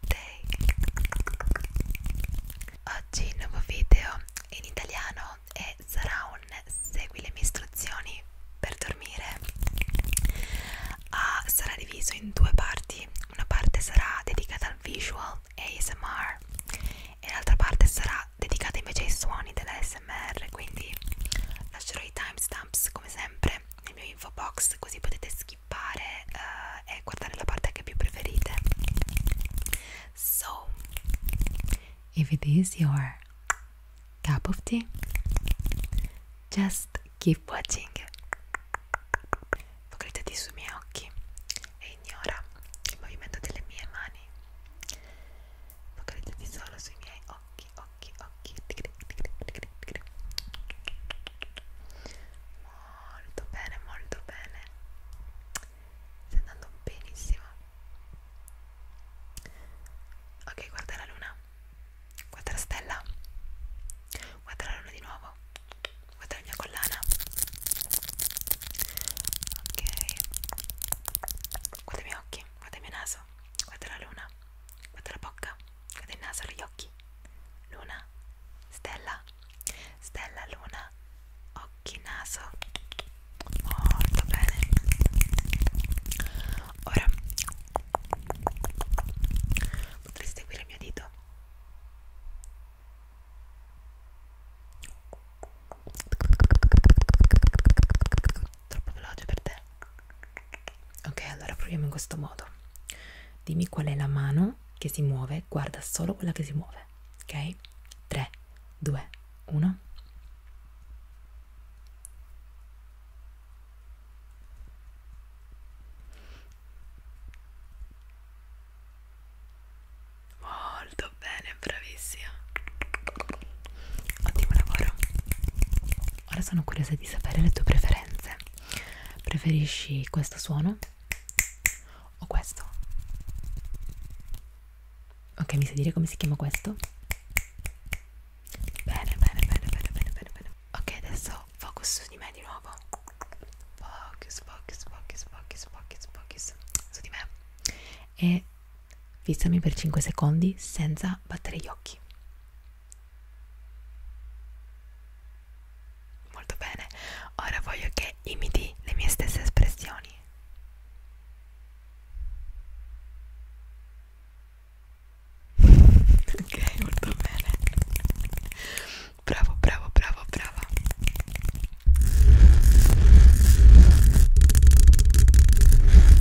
Day. Oggi il nuovo video in italiano è sarà un segui le mie istruzioni per dormire. Ah, sarà diviso in due parti. Una parte sarà dedicata al visual ASMR e l'altra parte sarà dedicata invece ai suoni dell'ASMR, quindi lascerò i timestamps come sempre nel mio info box così potete skippare uh, e guardare la parte che più preferite so if it is your cup of tea just keep watching focalizzati sui miei occhi e ignora il movimento delle mie mani focalizzati solo sui miei occhi occhi, occhi molto bene, molto bene stai andando benissimo ok, guarda la luna guarda la stella guarda la luna di nuovo guarda la mia collana ok guarda i miei occhi guarda il mio naso guarda la luna guarda la bocca del naso agli occhi luna stella stella luna occhi naso molto bene ora potresti seguire il mio dito troppo veloce per te ok allora proviamo in questo modo dimmi qual è la mano che si muove guarda solo quella che si muove ok 3 2 1 Molto bene, bravissima. Ottimo lavoro. Ora sono curiosa di sapere le tue preferenze. Preferisci questo suono o questo? Ok, mi sai dire come si chiama questo? Bene, bene, bene, bene, bene, bene, bene. Ok, adesso focus su di me di nuovo. Focus, focus, focus, focus, focus, focus su di me. E fissami per 5 secondi senza battere gli occhi. 5 4 3 2 1 Molto bene, ora voglio che imiti le mie stesse espressioni. ok, molto bene. Bravo, bravo, bravo, brava.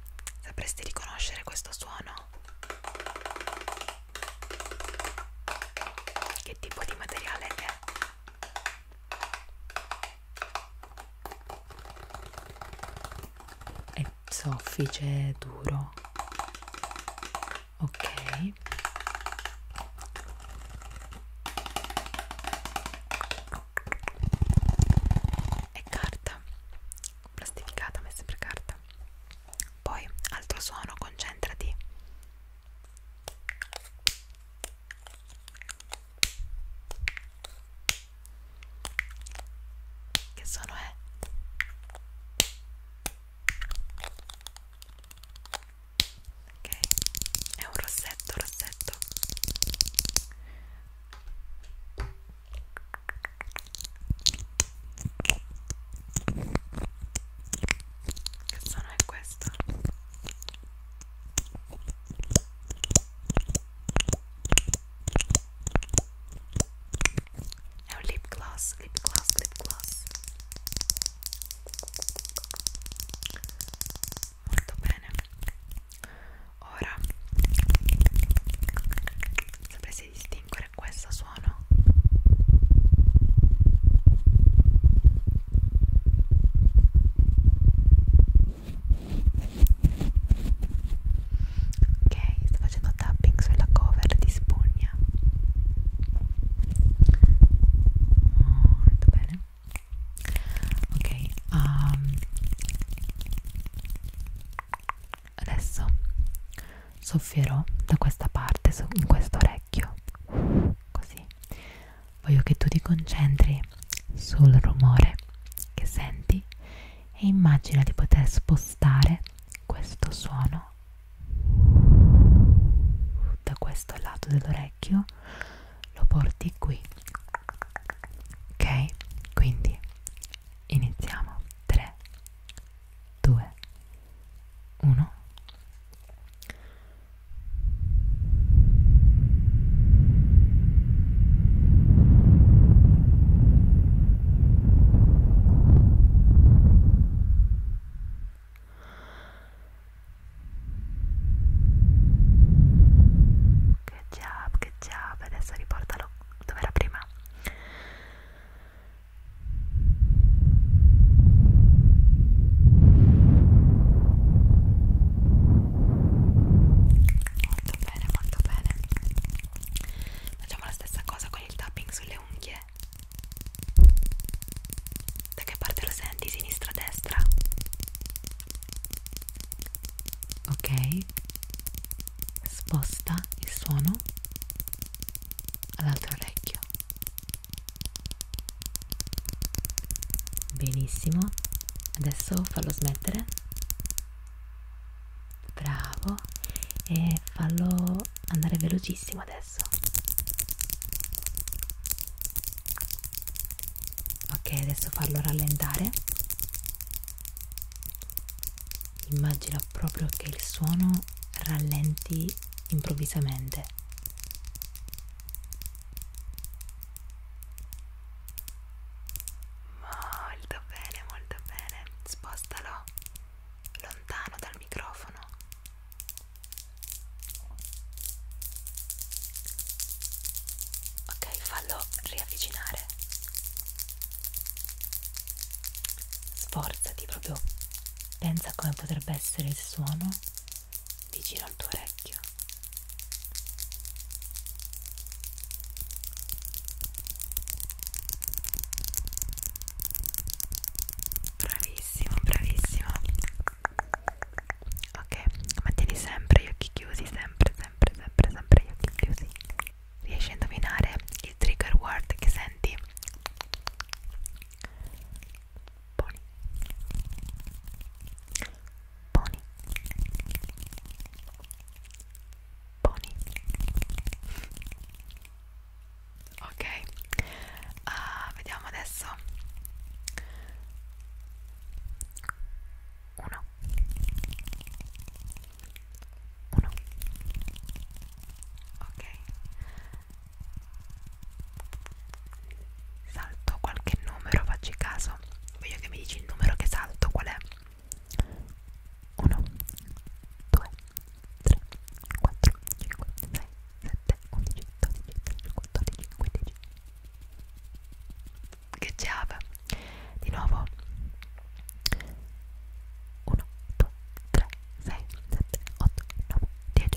cioè, sapresti riconoscere questo suono? Che tipo di materiale è? È soffice, duro. Ok. È carta plastificata ma è sempre carta poi altro suono concentrati che suono è? ok è un rossetto rossetto che suono è questo? È un lip gloss, lip gloss, lip gloss Molto bene Ora sapresti distinguere questo suono? Ok, sto facendo tapping sulla cover di spugna. Molto bene. Ok, um, Adesso soffierò da questa parte, in questo orecchio, così. Voglio che tu ti concentri sul rumore che senti e immagina di poter spostare questo suono da questo lato dell'orecchio, lo porti qui ok quindi iniziamo 3 2 1 Ok, che job, che job. Adesso riportalo dove era prima. Molto bene, molto bene. Facciamo la stessa cosa con il tapping sulle unghie. Da che parte lo senti? Sinistra, destra? ok sposta il suono all'altro orecchio benissimo adesso fallo smettere bravo e fallo andare velocissimo adesso ok adesso farlo rallentare immagina proprio che il suono rallenti improvvisamente molto bene molto bene spostalo lontano dal microfono ok fallo riavvicinare sforzati proprio pensa come potrebbe essere il suono vicino al tuo orecchio bravissimo bravissimo ok mantieni sempre gli occhi chiusi sempre sempre sempre sempre gli occhi chiusi riesci a indovinare il trigger word che senti pony pony pony ok uh, vediamo adesso uno uno ok salto qualche numero facci caso voglio che mi dici il numero che salto qual è 1 2 3 4 5 6 7 11 12 13 14 15 gheggiava di nuovo 1 2 3 6 7 8 9 10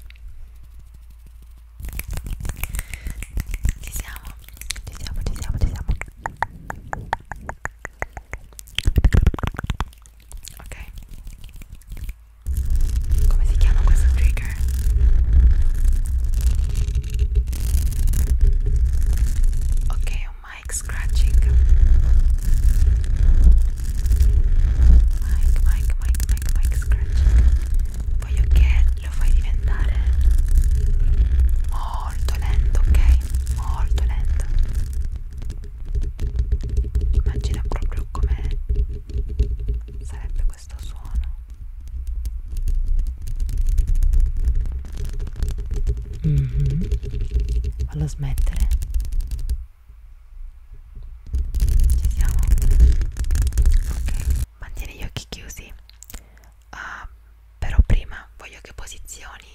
ci siamo ci siamo ci siamo ci siamo ok come si chiama questo trigger Ok, un mic scratching. Mic, mic, mic, mic, mic scratching. Voglio che lo fai diventare molto lento, ok? Molto lento. Immagina proprio come sarebbe piace questo suono mm -hmm. fallo smettere ci siamo ok mantieni gli occhi chiusi uh, però prima voglio che posizioni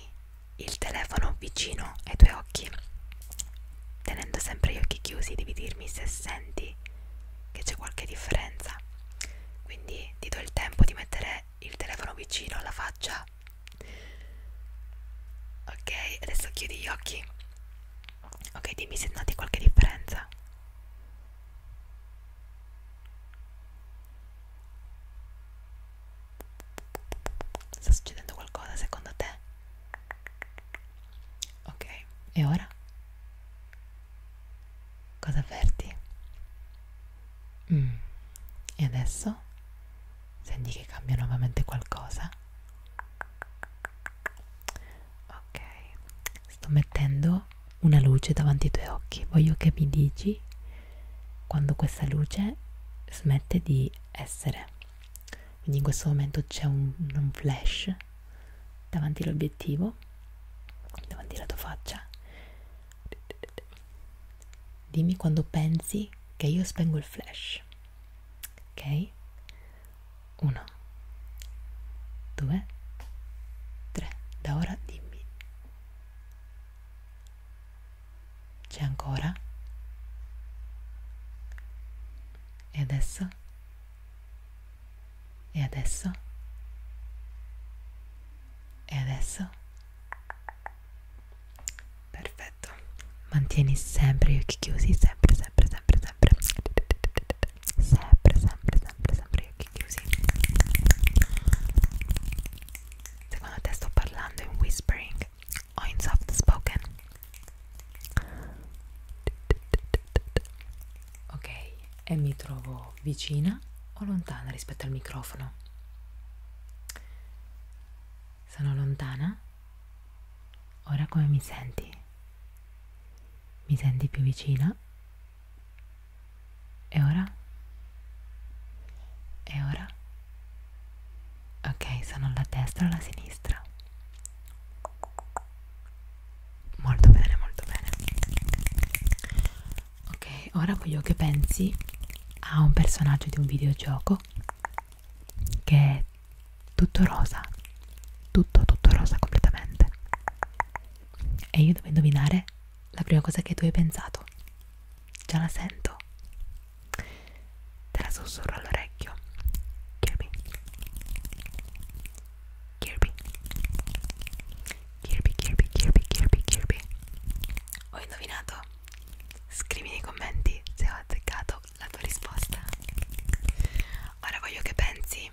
il telefono vicino ai tuoi occhi tenendo sempre gli occhi chiusi devi dirmi se senti che c'è qualche differenza quindi ti do il tempo di mettere il telefono vicino alla faccia ok adesso chiudi gli occhi ok dimmi se noti qualche differenza sta succedendo qualcosa secondo te ok e ora Cosa avverti? Mm. E adesso senti che cambia nuovamente qualcosa? Ok, sto mettendo una luce davanti ai tuoi occhi. Voglio che mi dici quando questa luce smette di essere. Quindi in questo momento c'è un, un flash davanti all'obiettivo, davanti alla tua faccia. Dimmi quando pensi che io spengo il flash. Ok? Uno, due, tre. Da ora dimmi. C'è ancora? E adesso? E adesso? E adesso? Perfetto. Mantieni sempre gli occhi chiusi, sempre, sempre, sempre, sempre. Sempre, sempre, sempre, sempre gli occhi chiusi. Secondo te sto parlando in whispering o in soft spoken? Ok, e mi trovo vicina o lontana rispetto al microfono? Sono lontana? Ora come mi senti? Mi senti più vicina? E ora? E ora? Ok, sono alla destra o alla sinistra? molto bene molto bene ok ora voglio che pensi a un personaggio di un videogioco che è tutto rosa tutto tutto rosa completamente e io devo indovinare la prima cosa che tu hai pensato già la sento te la sussurro all'orecchio Kirby Kirby Kirby Kirby Kirby Kirby Kirby Ho indovinato? Scrivi nei commenti se ho azzeccato la tua risposta Ora voglio che pensi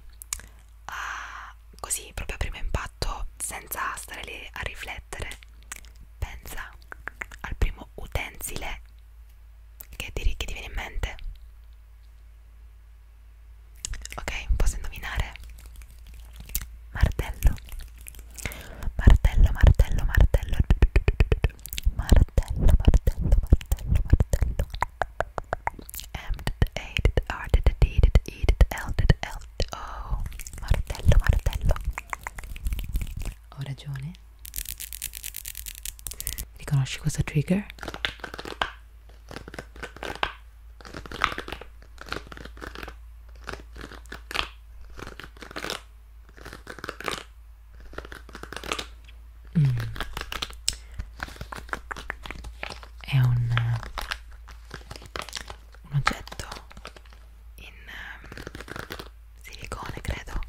a così proprio a primo impatto senza stare lì a riflettere Pensa al primo utensile che ti, che ti viene in mente ok posso indovinare martello martello martello martello martello martello martello martello m a did r did d did e did l did l o oh. martello martello ho ragione riconosci questo trigger? Mm. È un, un oggetto in um, silicone, credo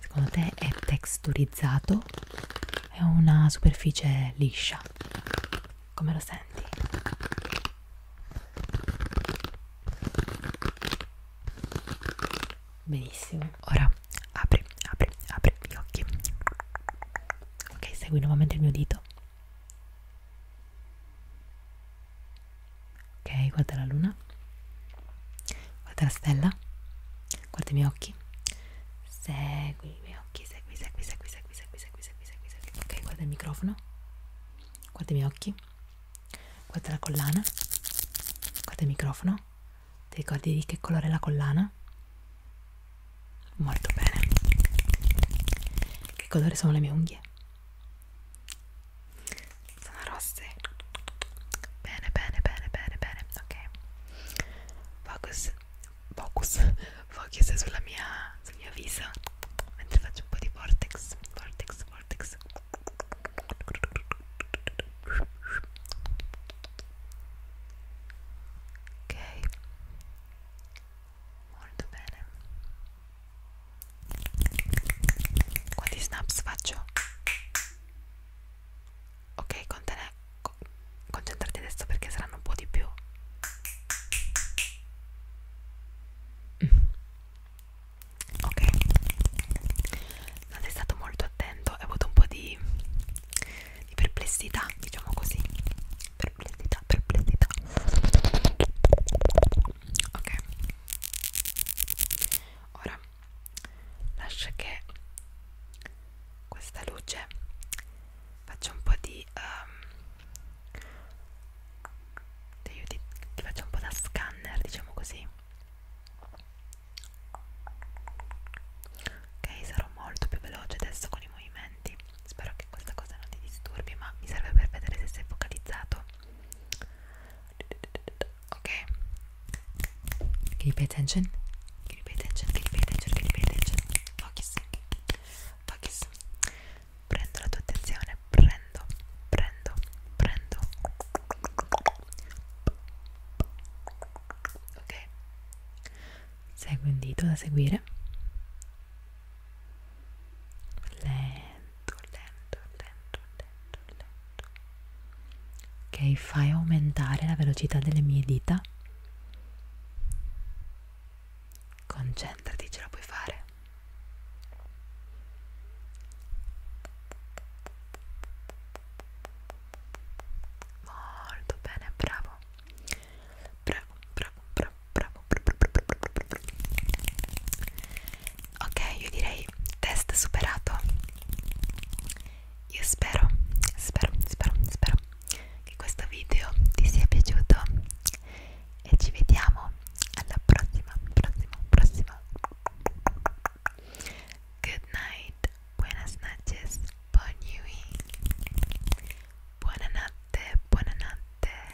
Secondo te è texturizzato? È una superficie liscia. Come lo senti? Benissimo. Ora apri, apri, apri gli occhi. Ok, segui nuovamente il mio dito ok? Guarda la luna, guarda la stella, guarda i miei occhi, segui i miei occhi, segui, segui, segui, segui, segui, segui, segui, segui, segui, ok? Guarda il microfono, guarda i miei occhi, guarda la collana, guarda il microfono, ti ricordi di che colore è la collana? Molto bene. Che colore sono le mie unghie? sono rosse bene bene bene bene bene ok focus focus focus sulla mia sul mio viso mentre faccio un po' di vortex vortex vortex ok molto bene quanti snaps faccio ok contene, co concentrati adesso perché saranno un po' di più mm. ok non sei stato molto attento hai avuto un po' di, di perplessità diciamo così perplessità perplessità ok ora lascia che questa luce faccia un po' di um, ti, aiuti, ti faccia un po' da scanner diciamo così ok sarò molto più veloce adesso con i movimenti spero che questa cosa non ti disturbi ma mi serve per vedere se sei focalizzato Okay. Can you pay attention? Can you pay attention? Can you pay attention? Can you pay attention? Focus. Focus. Prendo la tua attenzione. Prendo. Prendo. Prendo. Ok. Segui un dito da seguire. Lento lento, lento, lento, lento, lento. Ok, fai aumentare la velocità delle mie dita. Concentrati, ce la puoi fare. Molto bene, bravo. Bravo, bravo, bravo, bravo. bravo, bravo, bravo, bravo ok io direi test superato io spero spero spero spero che questo video ti sia piaciuto e ci vediamo alla prossima prossima prossima good night buenas noches buon buonanotte buonanotte